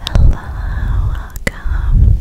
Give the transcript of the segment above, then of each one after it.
Hello, welcome.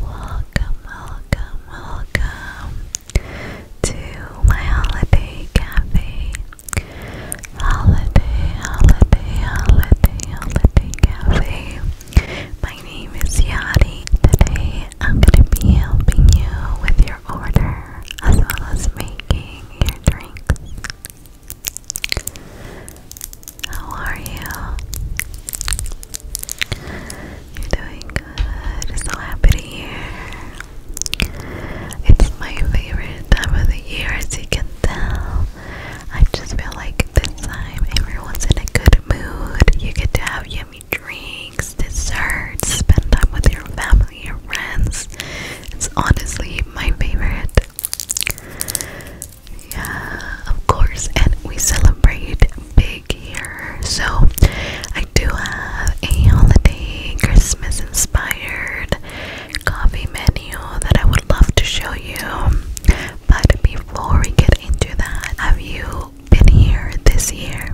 Welcome, welcome, welcome to my holiday cafe. Holiday, holiday, holiday, holiday cafe. My name is Yadi. Today I'm going to be helping you with your order as well as making your drinks. How are you? You're doing good. So happy to hear. It's my favorite time of the year, as you can tell. I just feel like this time everyone's in a good mood. You get to have yummy drinks, desserts, spend time with your family, your friends. It's honestly my favorite yeah, of course, and we celebrate big here. So I do have a holiday Christmas inspired coffee menu that I would love to show you. But before we get into that, have you been here this year?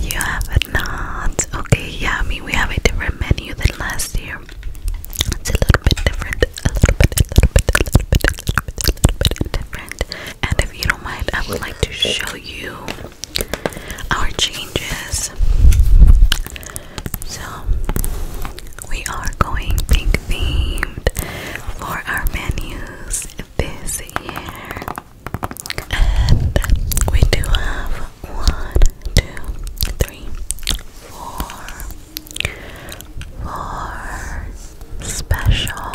You have not. Okay, yeah, I mean we have a different menu than last year, it's a little bit different, a little bit, a little bit, a little bit, different. And if you don't mind, I would like to show you our changes. So we are going pink themed for our menus this year. And we do have one, three, four, four special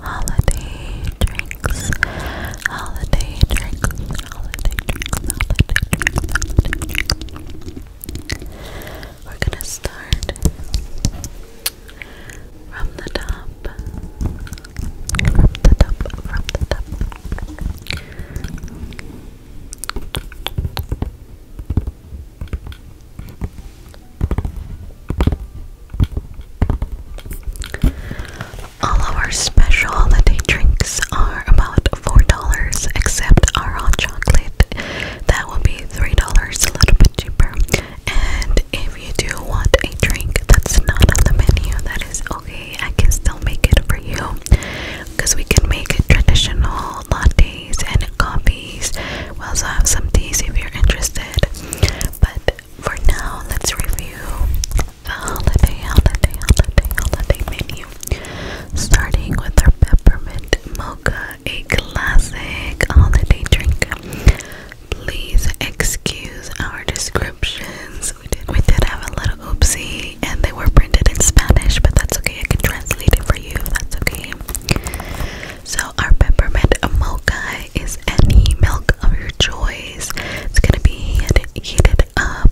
holiday drinks, holiday drinks, holiday drinks, holiday drinks, holiday drinks. We're gonna start from the top, from the top, from the top. All of our special holiday drinks are about $4 except our hot chocolate. That will be $3, a little bit cheaper. And if you do want a drink that's not on the menu, that is okay I can still make it for you because we can make traditional lattes and coffees. We also have some teas if you're interested. But for now, let's review the holiday, holiday, holiday, holiday menu. Starting with our peppermint mocha, a classic holiday drink. Please excuse our descriptions we did we did have a little oopsie and they were printed in Spanish, but that's okay. I can translate it for you if that's okay. So our peppermint mocha is any milk of your choice. It's gonna be heated, heated up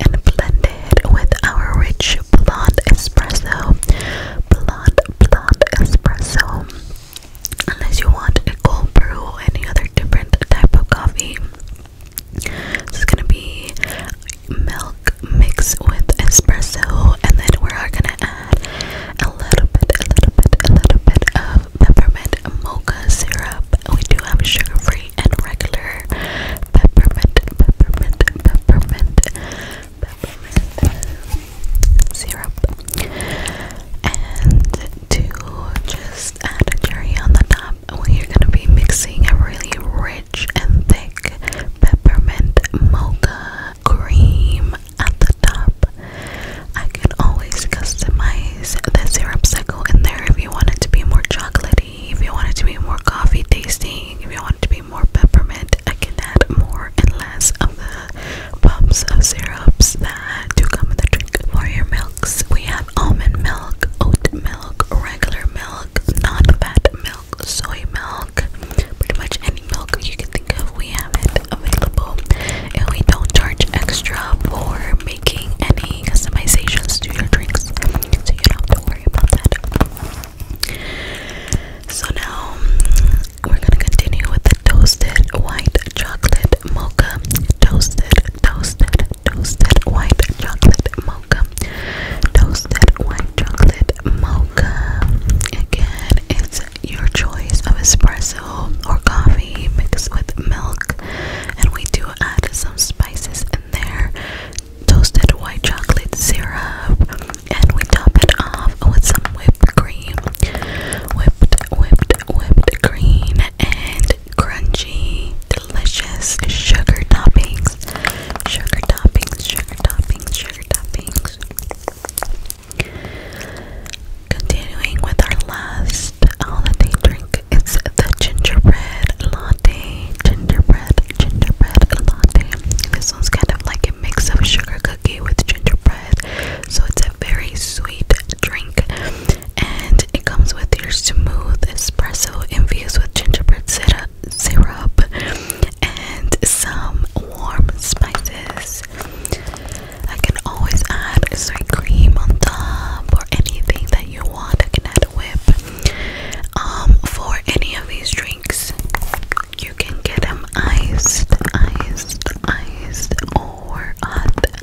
and blended with our rich blonde espresso. Blonde blonde espresso. Unless you want a cold brew or any other different type of coffee. This gonna be milk mixed with espresso, and then we are gonna add a little bit, a little bit, a little bit of peppermint mocha syrup. We do have sugar-free and regular peppermint, peppermint, peppermint, peppermint syrup, and to just add a cherry on the top we are gonna be mixing a really rich and thick peppermint mocha cream at the top. I can always customize the syrup cycle in there if you want it to be more chocolatey, if you want it to be more coffee tasting, if you want it to be more peppermint. I can add more and less of the pumps of syrups that do come in the drink. For your milks, we have almond milk, oat milk regular milk, non-fat milk, soy milk, pretty much any milk you can think of, we have it available. And we don't charge extra for making any customizations to your drinks, so you don't have to worry about that. So now we're gonna continue with the toasted white chocolate mocha, toasted toasted toasted white chocolate mocha toasted white chocolate mocha again it's your choice of espresso or coffee mixed with milk and we do add some spices in there toasted white chocolate syrup and we top it off with some whipped cream whipped whipped whipped cream and crunchy, delicious sugar toppings. Sugar toppings, sugar toppings, sugar toppings. Continuing with our last holiday drink, it's the gingerbread latte. Gingerbread, gingerbread latte. This one's kind of like a mix of sugar cookie with gingerbread, so it's a very sweet drink. And it comes with your smooth espresso infused with gingerbread syrup, syrup and some warm spices. I can always add sweet cream on top or anything that you want. I can add a whip. Um, for any of these drinks, you can get them iced, iced, iced, or hot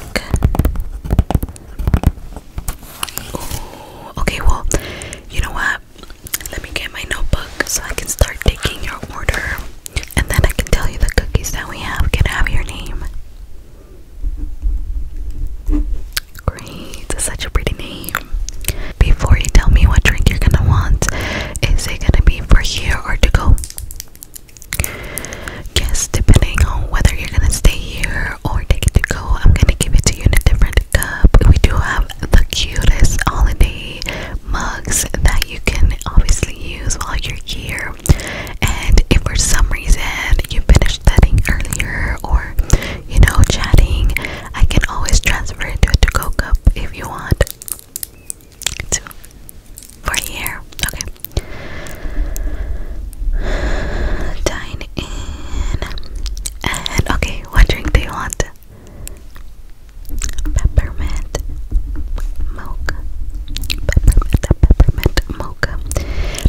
Ooh, okay, well, you know what? Let me get my notebook so I can start taking your order. And then I can tell you the cookies that we have. Can have your name? Great, such a pretty name. Before you tell me what drink you're gonna want, is it gonna be for here or to go? Yes, depending on whether you're gonna stay here or take it to go, I'm gonna give it to you in a different cup. We do have the cutest holiday mugs that you can obviously use while you're here. And if for some reason you finished studying earlier or you know chatting, I can always transfer it to a to cup if you want. To for here, okay. Dine in. And okay, what drink do you want? Peppermint mocha. Peppermint, peppermint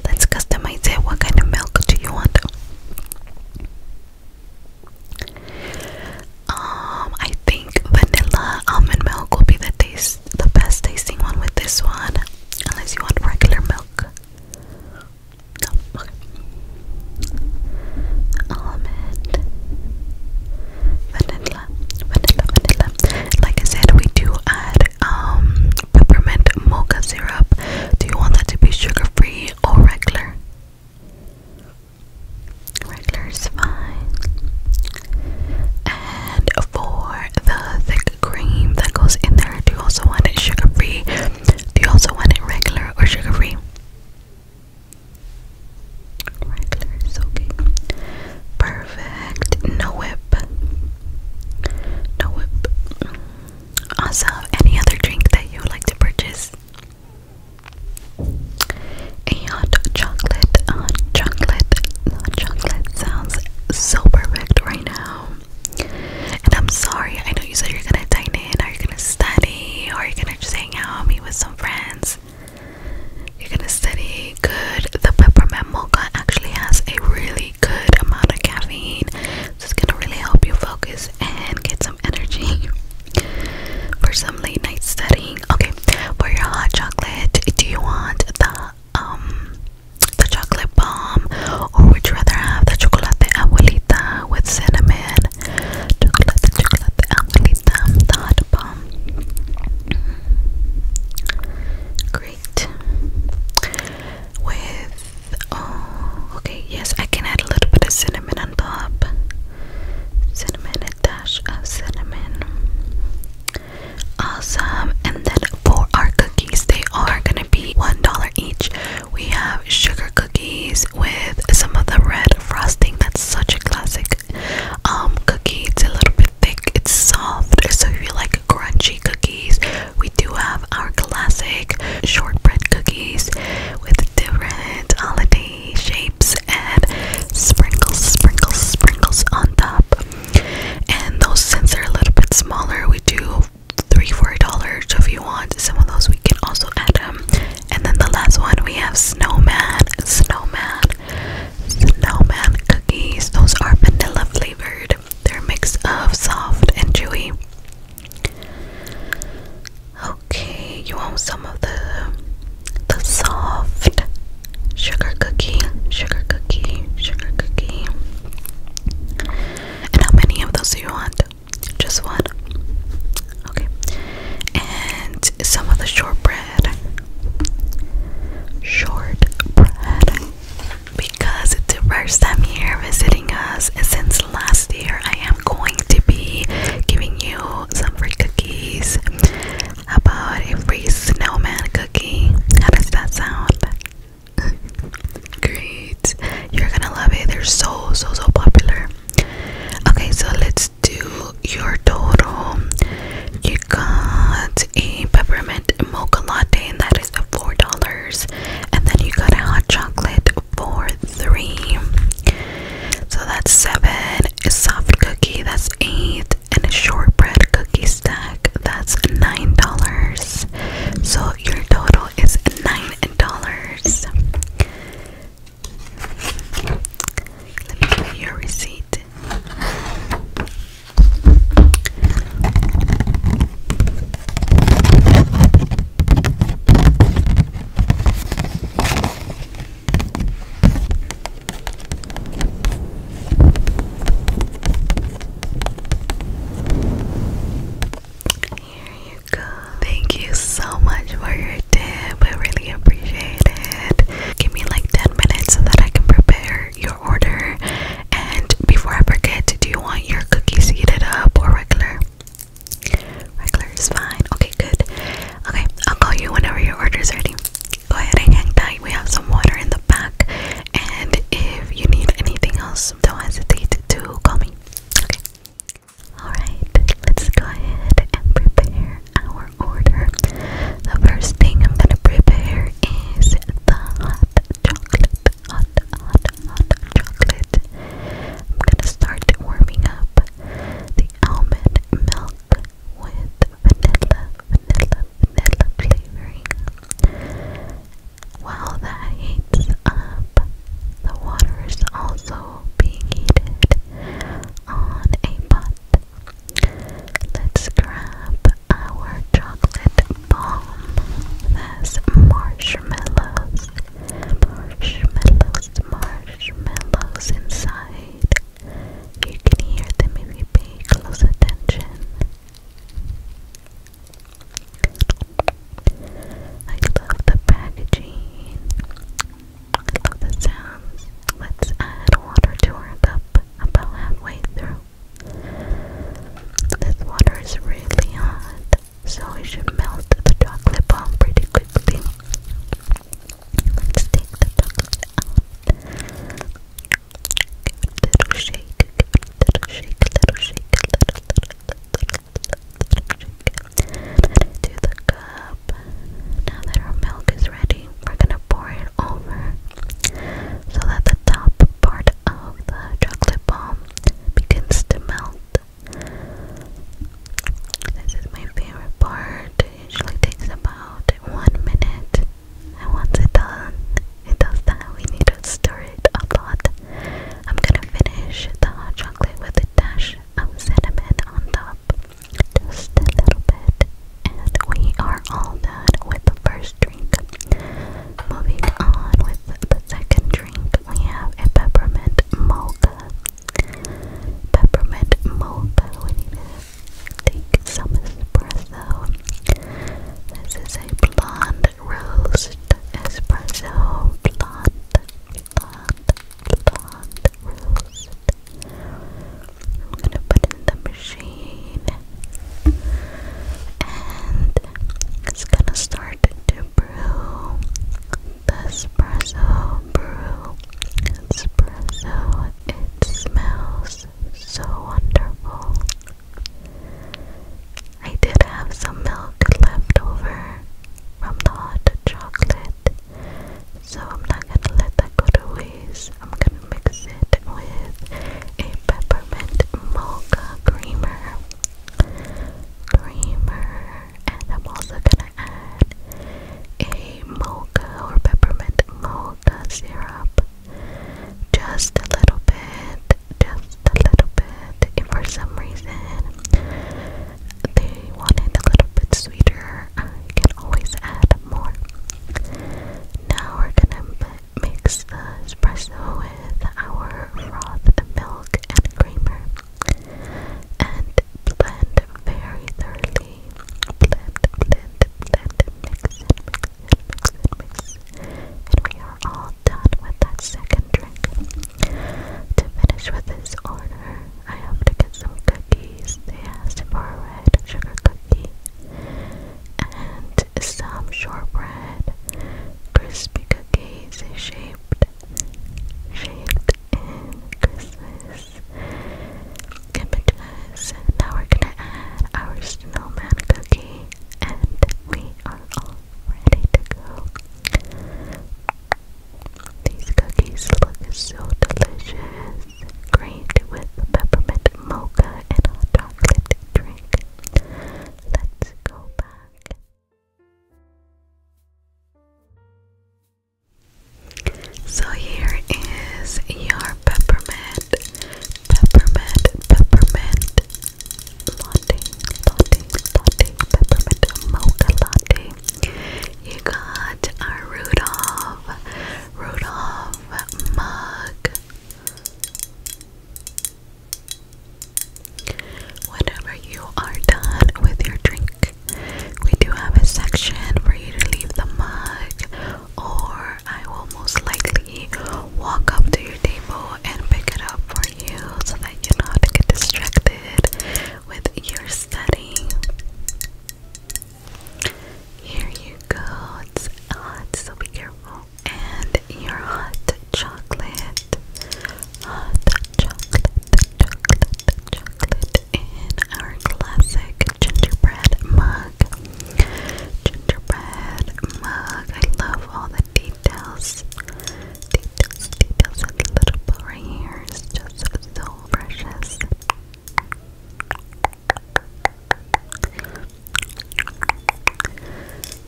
Let's customize it. What kind of milk do you want? Um, I think vanilla almond milk will be the taste the best tasting one with this one, unless you want regular milk. Almond, vanilla, vanilla, vanilla. Like I said, we do add um, peppermint mocha syrup. Do you want that to be sugar free or regular? Regular is fine. And for the thick cream that goes in there, do you also want it sugar free? Do you also want it regular or sugar free? Regular is okay. Perfect. No whip. No whip. Also, any other drink that you would like to purchase? and chocolate, uh, chocolate, uh, chocolate sounds so perfect right now. And I'm sorry, I know you said you're gonna dine in, are you gonna study, or are you gonna just hang out, with some friends? You're gonna study good. The peppermint mocha actually has a really good amount of caffeine, so it's gonna really help you focus and get some energy for some late night study Okay, for your hot chocolate, do you want the um the chocolate bomb, or would you rather have the chocolate abuelita with cinnamon? Chocolate, chocolate abuelita, the bomb. Great. With oh, okay, yes, I can add a little bit of cinnamon on top. Cinnamon, a dash of cinnamon. Awesome. And then for our cookies, they are gonna be $1 each. We have sugar cookies with some of the red frosting. That's such a classic um cookie. It's a little bit thick, it's soft. So if you like crunchy cookies, we do have our classic shortbread cookies with different holiday shapes and sprinkles, sprinkles, sprinkles on top. And those, since are a little bit smaller, we do three four dollars So if you want some of those, we can also add them. And then the last one we have snowman, snowman, snowman cookies. Those are vanilla flavored. They're a mix of soft and chewy. Okay, you want some of the the soft sugar cookie, sugar cookie, sugar cookie. And how many of those do you want? Just one. Okay. And some of the shortbread. Shortbread. Because it's the first time here visiting us since last year, I am going to be giving you some free cookies. How about a free snowman cookie? How does that sound? Great. You're gonna love it. They're so, so, so popular. Okay, so let's do your total. You got a peppermint mocha latte, and that is four dollars. And then you got a hot chocolate for three. So that's seven. A soft cookie, that's eight and a shortbread cookie stack that's nine dollars. So your total is nine dollars. Let me give you your receipt. Here you go. Thank you so much for your tip. We really appreciate it. Give me like 10 minutes so that I can prepare your order. And before I forget, do you want your cookies heated up or regular? Regular is fine. Okay, good. Okay, I'll call you whenever your order is ready go ahead and hang tight. We have some water in the back, and if you need anything else, don't hesitate to call me. Okay. Alright, let's go ahead and prepare our order. The first thing I'm gonna prepare is the hot chocolate. Hot, hot, hot chocolate. I'm gonna start warming up the almond milk with vanilla, vanilla, vanilla flavoring. While that heats up, the water is also being heated on a pot. Let's grab our chocolate bomb. That's marshmallows, marshmallows, marshmallows inside. You can hear them if you pay close attention. I love the packaging. I love the sounds. Let's add water to our cup about halfway through. This water is really hot, so it should melt the chocolate bomb pretty quickly. Let's take the chocolate out. Give it a little shake, a little shake, little shake, little, little, little, little shake. Into the cup. Now that our milk is ready, we're gonna pour it over so that the top part of the chocolate bomb begins to melt. This is my favorite part. It usually takes about one minute and once it's done it does that we need to stir it a lot I'm gonna finish the hot chocolate with a dash of cinnamon on top just a little bit and we are all done with the first drink moving on with the second drink we have a peppermint mocha peppermint mocha. We need to take some This is a blonde roast espresso. Blonde, blonde, blonde roast. I'm gonna put in the machine and it's gonna start to brew espresso brew. Espresso, it smells so wonderful. I did have some milk left over from the hot chocolate, so I'm not gonna let that go to waste. I'm gonna mix it with a peppermint mocha creamer. Creamer, and I'm also gonna add a mocha or peppermint mocha syrup. Just a little bit, just a little bit. If for some reason they want it a little bit sweeter, uh, you can always add more. Now we're gonna mix the espresso with our frothed milk and creamer and blend very thoroughly. Blend, blend, blend, mix it, mix it, mix mix And we are all done with that second drink. To finish with this order, I have to get some cookies. They asked for a red sugar cookie and some shortbread crispy cookies shaped shaped in Christmas images. now we're gonna add our snowman cookie, and we are all ready to go. These cookies look so delicious. Great with peppermint mocha and hot chocolate drink. Let's go back. So here is your peppermint, peppermint, peppermint latte, latte, latte, peppermint mocha latte. You got our Rudolph, Rudolph mug. Whenever you are done with your drink, we do have a section for you to leave the mug, or I will most likely walk up to your table and pick it up for you so that you not get distracted with your studying. Here you go. It's hot, so be careful. And your hot chocolate. Hot chocolate, chocolate, chocolate in our classic gingerbread mug. Gingerbread mug. I love all the details. Details, details, the little bow right here is just so precious.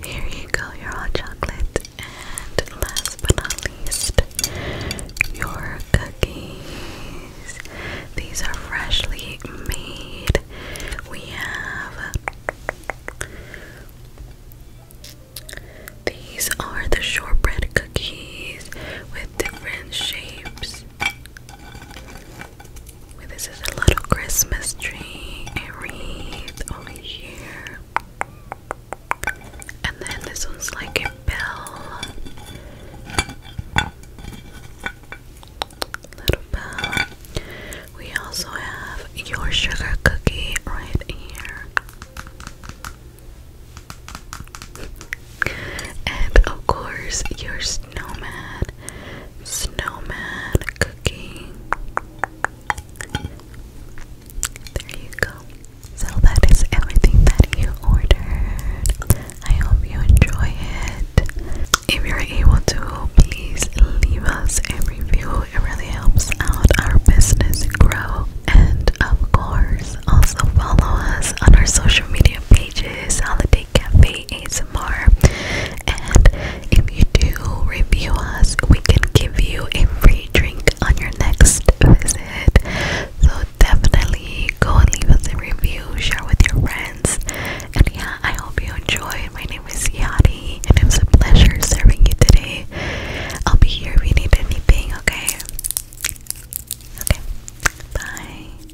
Here you go, your hot chocolate. And last but not least, your cookies. These are freshly made. We have these are the shortbread cookies with different shapes. This is a little Christmas tree, wreath over here. And then this one's like a bell. Little bell. We also have your sugar cookie right here. And of course, your snowman, snowman cookie. There you go. So that is everything that you ordered. I hope you enjoy it. If you're able to, please leave us a review. It really helps out our business grow. And of course, also follow us on our social media pages, Holiday Cafe ASMR. And if you do review us, we can give you a free free drink on your next visit. So definitely go and leave us a review, share with your friends. And yeah, I hope you enjoyed. My name is Yadi it was a pleasure serving you today. I'll be here if you need anything, okay? Okay. Bye.